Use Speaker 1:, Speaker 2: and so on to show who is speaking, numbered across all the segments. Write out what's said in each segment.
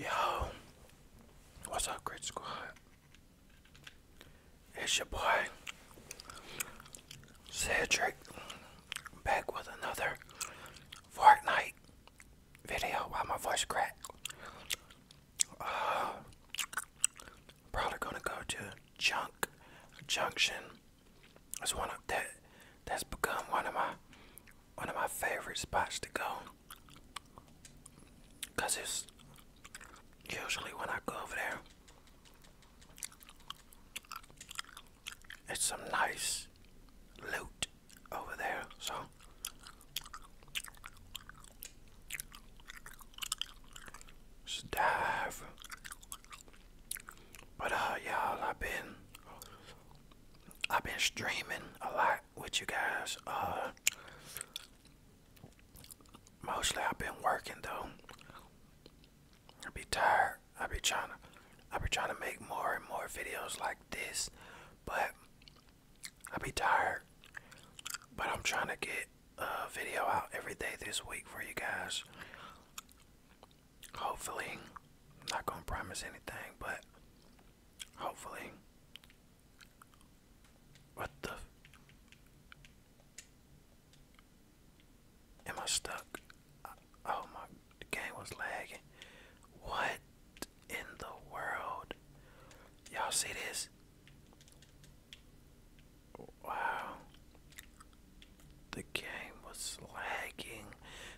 Speaker 1: Yo, what's up, Greek Squad? It's your boy Cedric back with another Fortnite video while my voice crack. Uh, probably gonna go to Junk Junction. It's one of that that's become one of my one of my favorite spots to go. Cause it's usually when I go over there it's some nice loot over there, so dive. But uh y'all I've been I've been streaming a lot with you guys. Uh. mostly I've been working though. I'll be tired I be trying to, I be trying to make more and more videos like this, but I be tired. But I'm trying to get a video out every day this week for you guys. Hopefully, I'm not gonna promise anything, but hopefully. What the? Am I stuck? Oh my, the game was lagging. What in the world? Y'all see this? Wow. The game was lagging.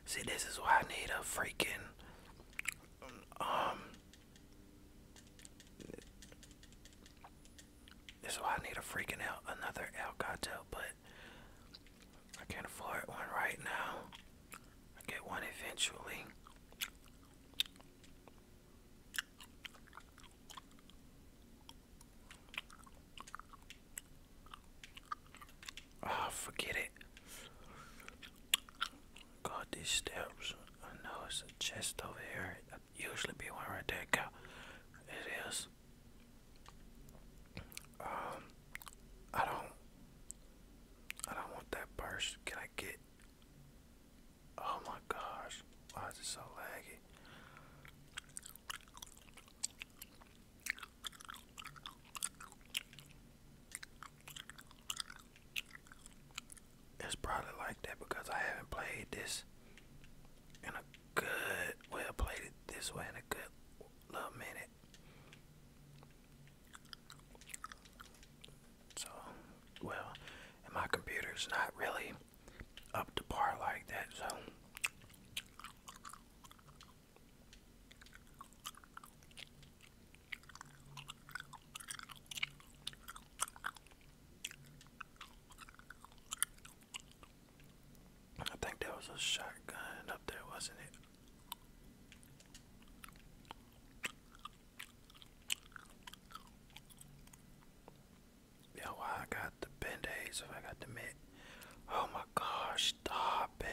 Speaker 1: See, this is why I need a freaking um. This is why I need a freaking out another Elgato, but I can afford one right now. I get one eventually. Oh, forget it. God, these steps. I know it's a chest over here. i usually be one right there. God, it is. Um, I don't I don't want that burst. Can I get? Oh my gosh! Why is it so laggy? It's probably like that because I haven't played this in a good well played this way in a good little minute. So, well, my computer's not really up to par like that, so. I think that was a shotgun up there, wasn't it? Yo, I got the band-aids, I got the mitt. Oh my gosh, stop it.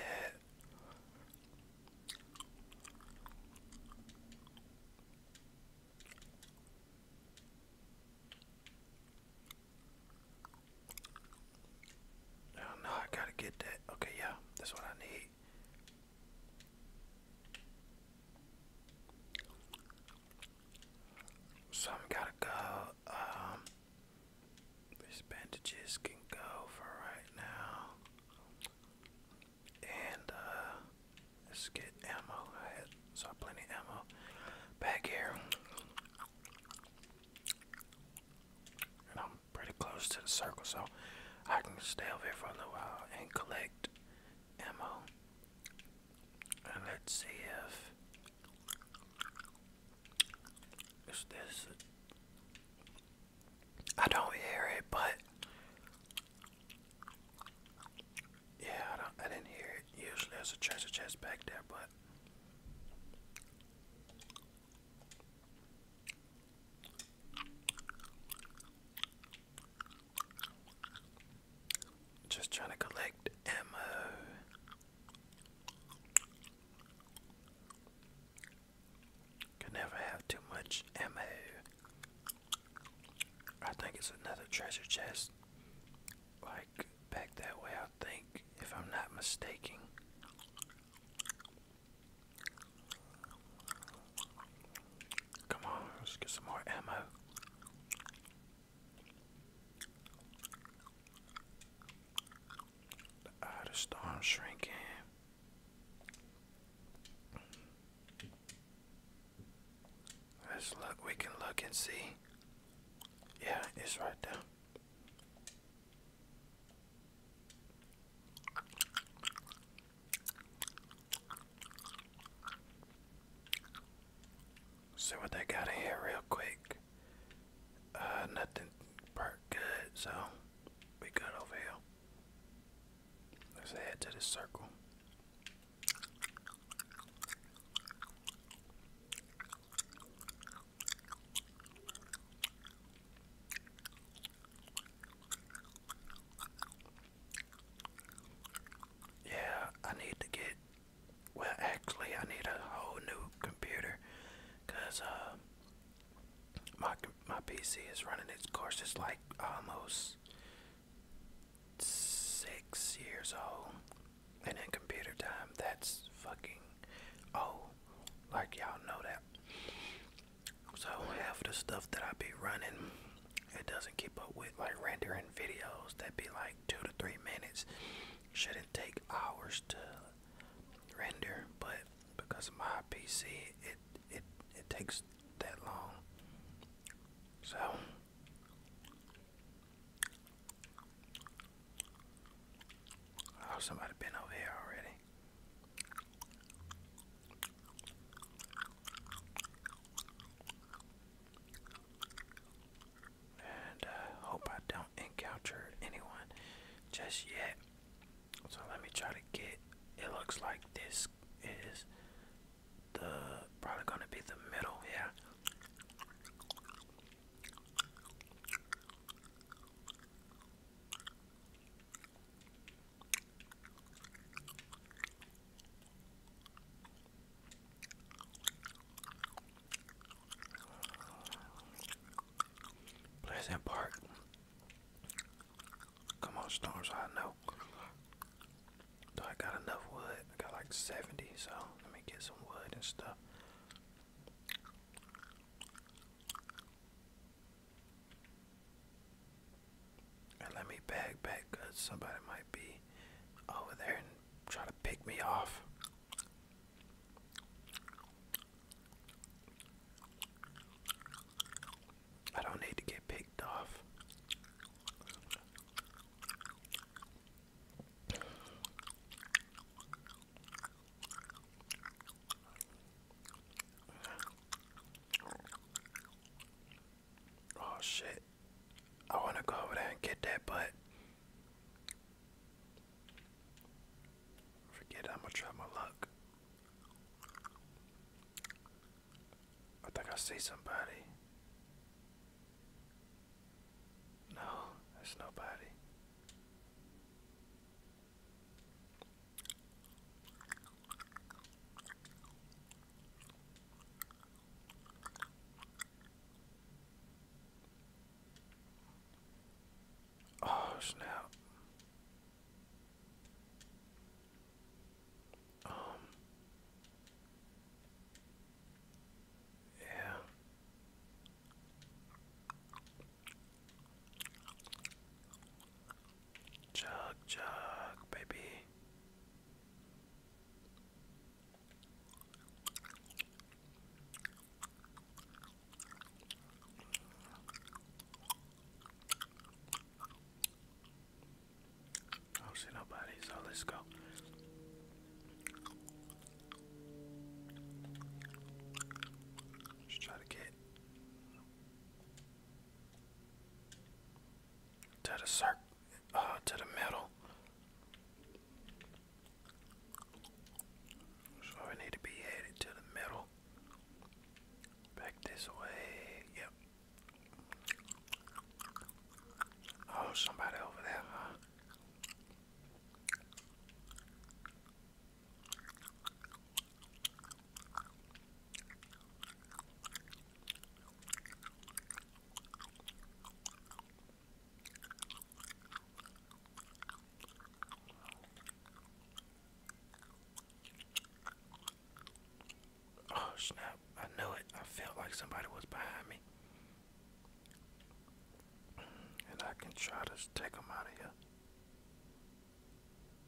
Speaker 1: No, oh, no, I gotta get that. Okay, yeah, that's what I need. So i gotta go. Um, these bandages can go for right now. And uh, let's get ammo. I had so plenty ammo back here. And I'm pretty close to the circle, so I can stay over here for a little while and collect ammo. And let's see if is this. I don't hear it, but yeah, I, don't, I didn't hear it. Usually, there's a treasure chest back there, but just trying to collect ammo. Can never have too much ammo. I think it's another treasure chest. Like back that way, I think, if I'm not mistaken. Come on, let's get some more ammo. The outer storm shrinking. Let's look, we can look and see. Yeah, it's right there. See what they got in here real quick. Uh, nothing burnt good, so we good over here. Let's head to the circle. Yeah, I need to get. Well, actually, I need a whole new computer, cause uh, my my PC is running its course. It's like almost six years old, and in computer time, that's fucking old. Like y'all know that. So half the stuff that I be running, it doesn't keep up with like rendering videos that be like two to three minutes. Shouldn't take hours to render, but because of my PC, it it it takes that long. So. Oh, somebody been over here already. And uh, hope I don't encounter anyone just yet. So let me try to get it looks like this is the probably gonna be the middle, yeah. Pleasant Park. Come on, Storms, I know. Do I got enough wood? I got like 70, so let me get some wood and stuff let me back back somebody might be over there and to pick me off. I don't need to get picked off. Oh shit. I want to go over there and get that, but forget I'm gonna try my luck. I think I see somebody. No, there's nobody. Oh, snap. Um. yeah. Chug, chug, baby. I oh, don't see nobody, so let's go. Just try to get to the circ uh, to the middle. So it need to be headed to the middle. Back this way. Yep. Oh, somebody over there, Oh snap, I knew it. I felt like somebody was behind me. And I can try to take them out of here.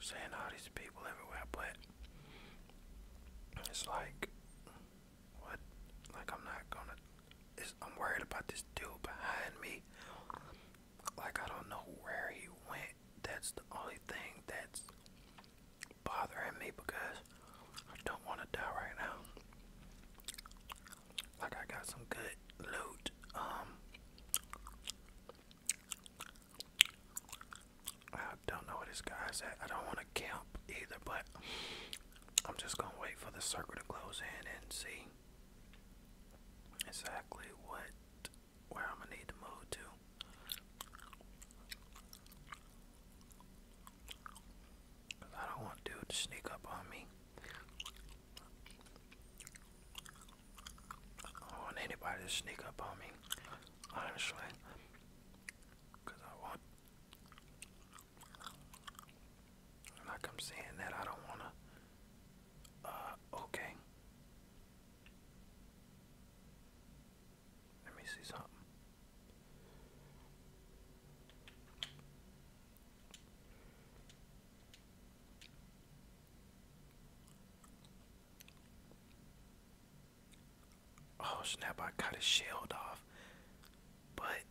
Speaker 1: Seeing all these people everywhere, but it's like, what? Like I'm not gonna. I'm worried about this dude behind me like I don't know where he went. That's the only thing that's bothering me because I don't want to die right now. Like I got some good loot. Um, I don't know where this guy's at. I don't want to camp either, but I'm just gonna wait for the circle to close in and see exactly what where I'm gonna need to move to. I don't want dude to sneak up on me. I don't want anybody to sneak up on me, honestly. Cause I want, like I'm saying that I don't wanna. Uh, okay. Let me see something. Oh snap, I cut a shield off. But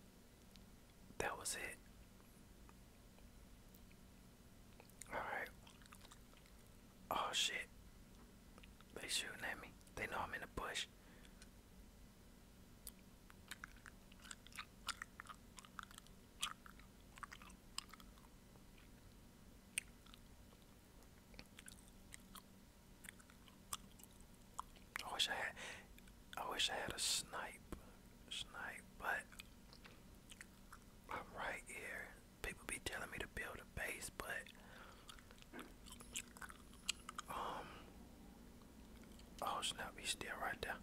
Speaker 1: that was it. Alright. Oh shit. They shooting at me. They know I'm in the bush. I wish I had I wish I had a snipe snipe but I'm right here people be telling me to build a base, but um, oh snap, he's still right there.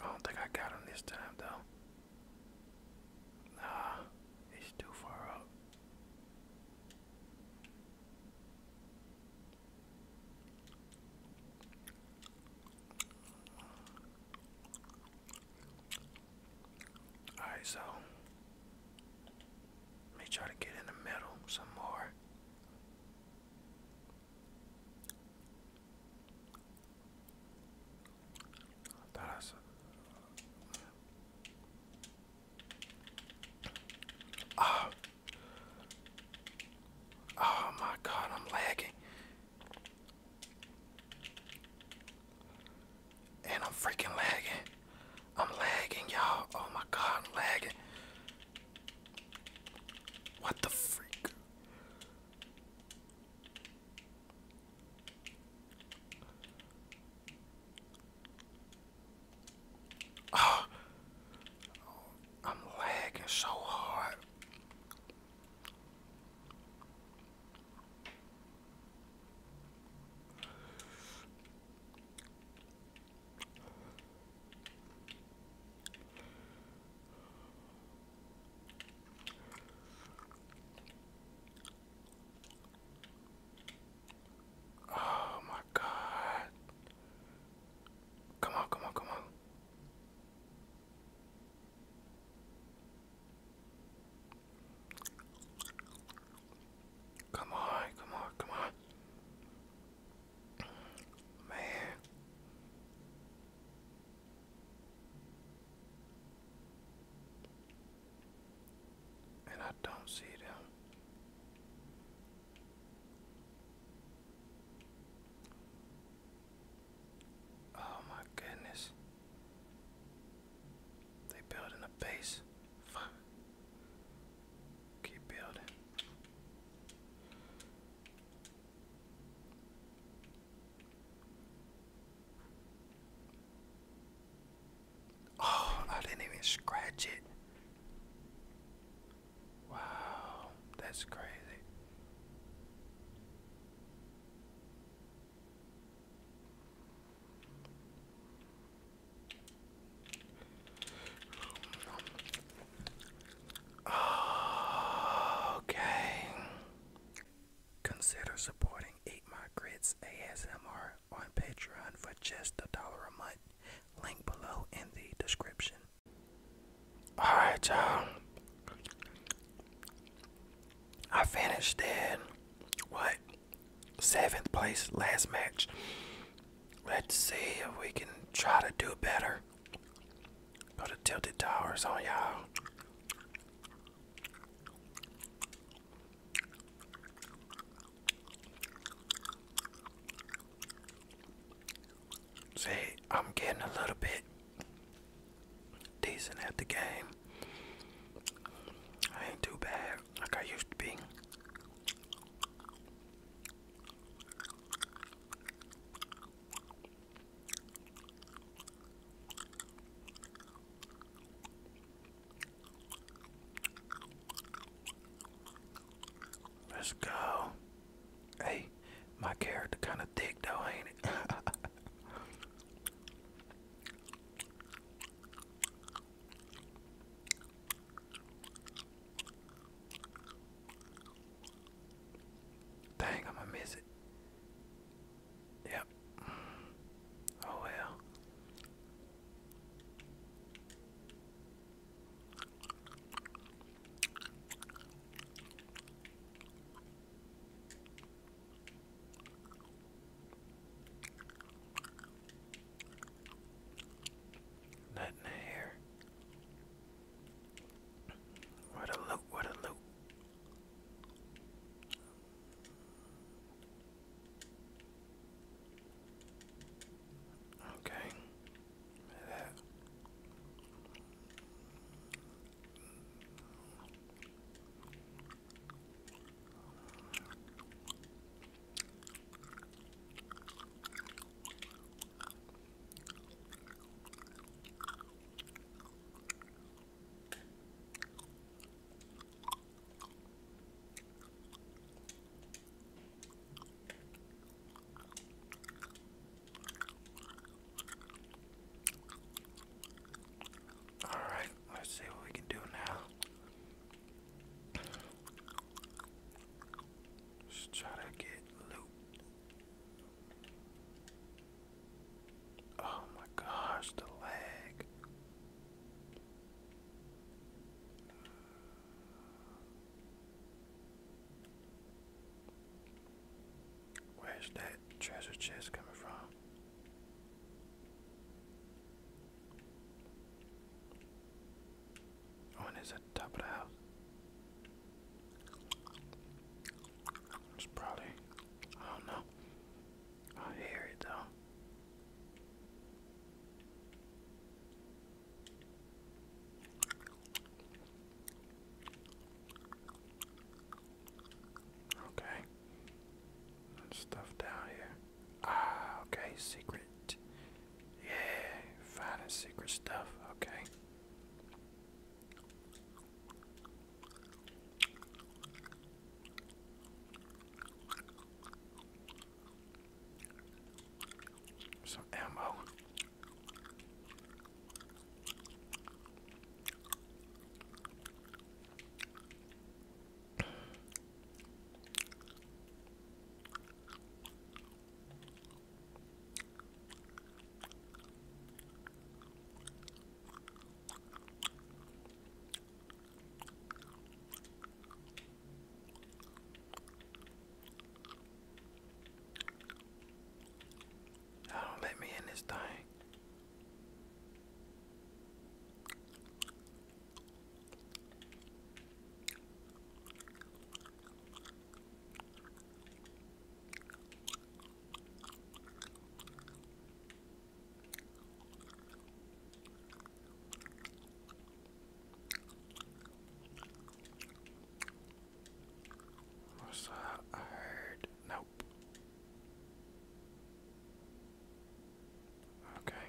Speaker 1: I don't think I got him this time though. Nah, he's too far up. All right, so let me try to get in the middle some more. I thought Oh. Oh my god, I'm lagging. And I'm freaking lagging. I'm lagging, y'all. Oh my god, I'm lagging. What the freak? Oh, I'm lagging so hard. Oh my god. Come on, come on, come on. Come on, come on, come on. Man. And I don't see them. Oh my goodness. They building a base. Fuck. Keep building. Oh, I didn't even scratch it. Wow, that's crazy. Oh, okay. Consider supporting 8 My ASMR on Patreon for just a dollar a month. Link below in the description. Alright, y'all. I finished in what? Seventh place last match. Let's see if we can try to do better. Go to Tilted Towers on y'all. See, I'm getting a little bit decent at the game. ain't too bad like I used to be. Let's go. Hey, my character kind of thick though, ain't it? Dang, I'm gonna miss it. Yep. Oh well. That in the What a look! what a look! Okay. That. All right, let's see what we can do now. let try to get looped. Oh my gosh, the lag. Where's that treasure chest coming from? Oh, the top of the house. It's probably, I don't know. I hear it though. Okay. Stuff down here. Ah, okay, secret. Yeah, finding secret stuff. Okay. Some ammo. Y'all don't let me in this thing. What's that I heard. Nope. Okay.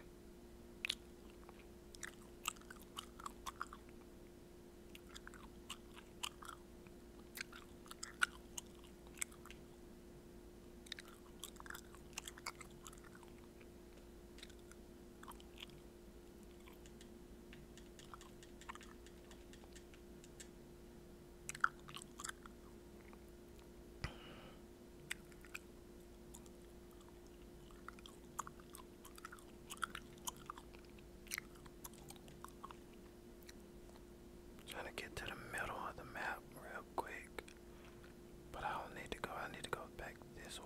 Speaker 1: Trying to get to the middle of the map real quick. But I don't need to go. I need to go back this way.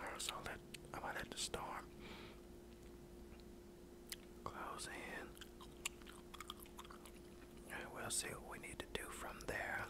Speaker 1: Heard something about at the storm. Close in. we'll see what we need to do from there.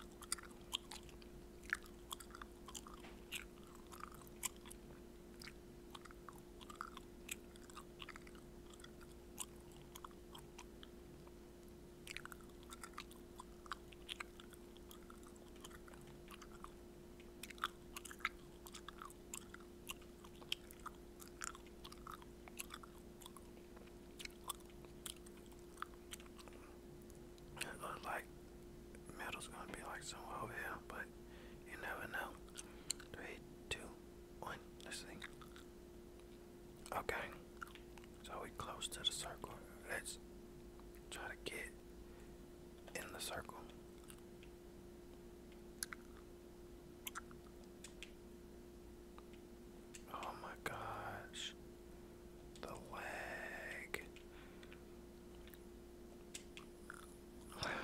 Speaker 1: It looks like metal's gonna be like somewhere over here, but you never know. Three, two, one, let's Okay. So we close to the circle. Let's try to get in the circle. Oh my gosh. The lag.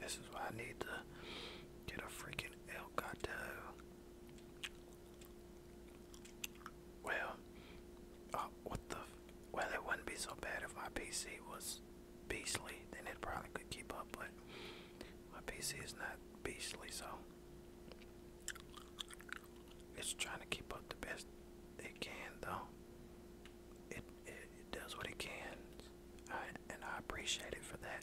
Speaker 1: This is why I need to get a freaking Elgato. Well, uh, what the? Well, it wouldn't be so bad if my PC was beastly. Then it probably could keep up, but my PC is not beastly, so it's trying to keep up the best it can, though. It it, does what it can, and I appreciate it for that.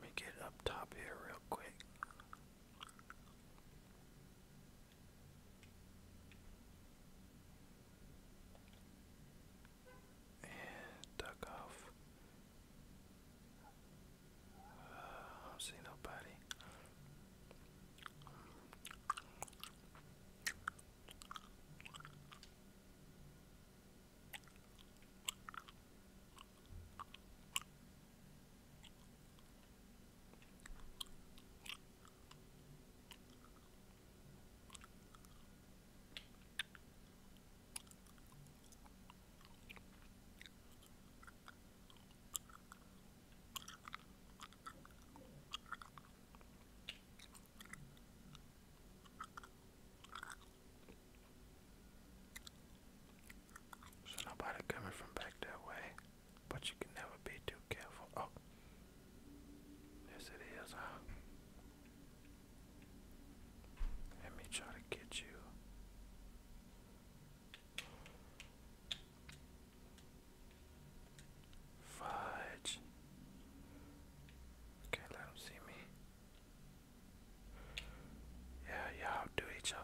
Speaker 1: Let me get up top here real quick. And duck off I don't see nobody. So nobody coming from back that way, but you can never be too careful. Oh, yes it is. Let me try to get you. Fudge. Okay, let them see me. Yeah, y'all do each other.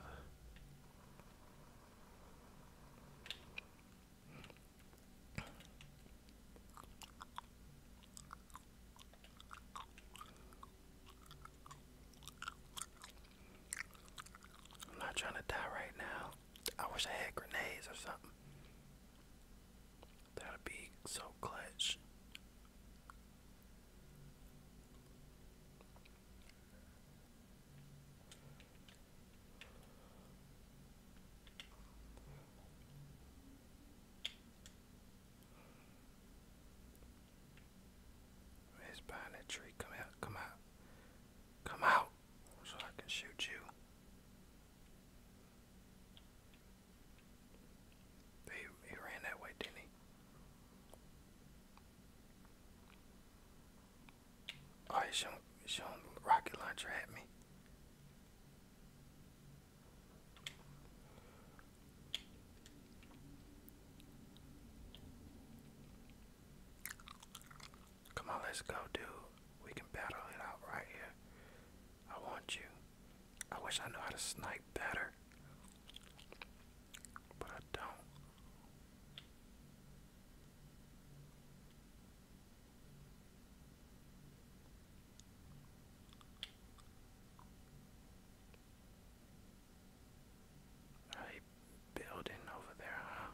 Speaker 1: I'm not trying to die right now. I wish I had grenades or something. That'd be so clutch. He's behind that tree. Come out, come out. Come out so I can shoot you. He, he ran that way, didn't he? Oh, he's showing, he's rocket launcher at me. Come on, let's go, dude. We can battle it out right here. I want you. I wish I knew how to snipe better. But I don't. Really building over there, huh?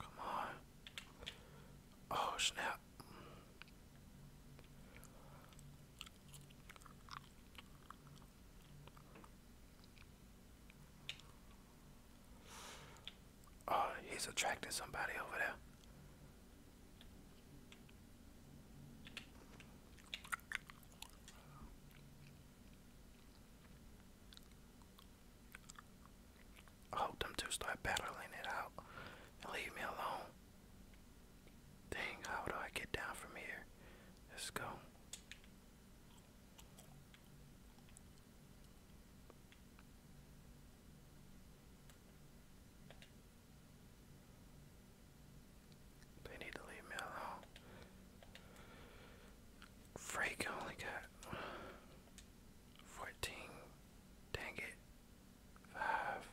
Speaker 1: Come on. Oh, snap. Oh, he's attracting somebody over there. I hope them two start battling it out leave me alone. Dang, how do I get down from here? Let's go. They need to leave me alone. Freak only got fourteen. Dang it. Five.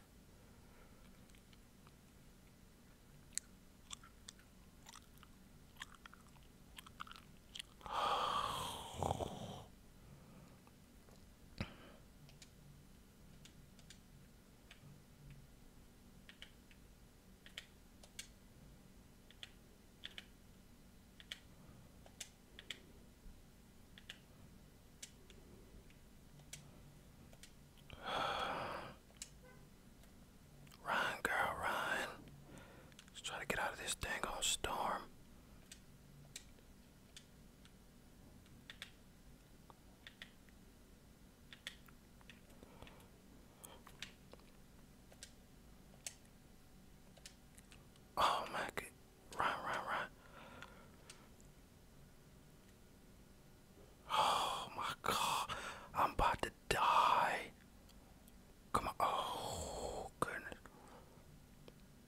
Speaker 1: Ryan, girl, Ryan. Let's try to get out of this dang old storm. Oh my god. Run, run, run. Oh my god. I'm about to die. Come on. Oh goodness.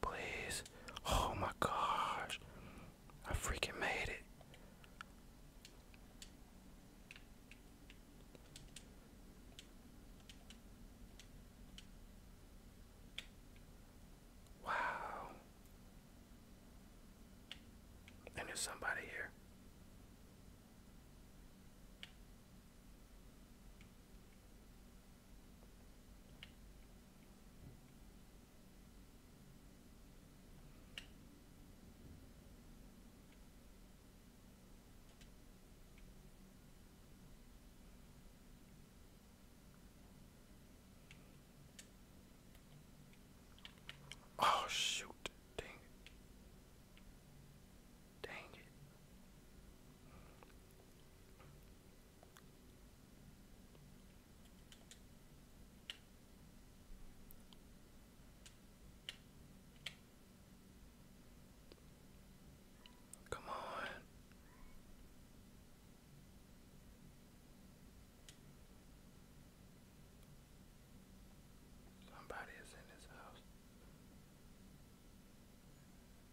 Speaker 1: Please. Oh my gosh. I freaking made it. Wow. And there's somebody here. Oh shoot. Dang it. Dang it. Come on. Somebody is in this house.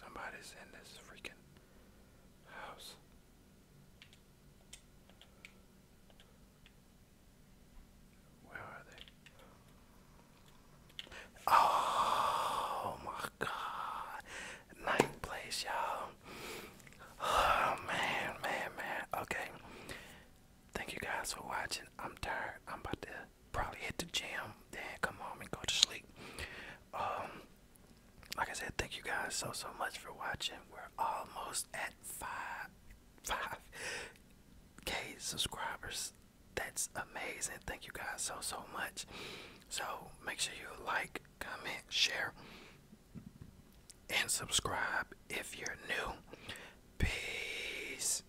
Speaker 1: Somebody's in this freaking house. Where are they? Oh my god. Night place, y'all. Oh man, man, man. Okay. Thank you guys for watching. I'm tired. I'm about to probably hit the gym, then come home and go to sleep. Um, like I said, thank you guys so so much for watching. We're almost at five five K subscribers. That's amazing. Thank you guys so so much. So make sure you like, comment, share, and subscribe if you're new. Peace.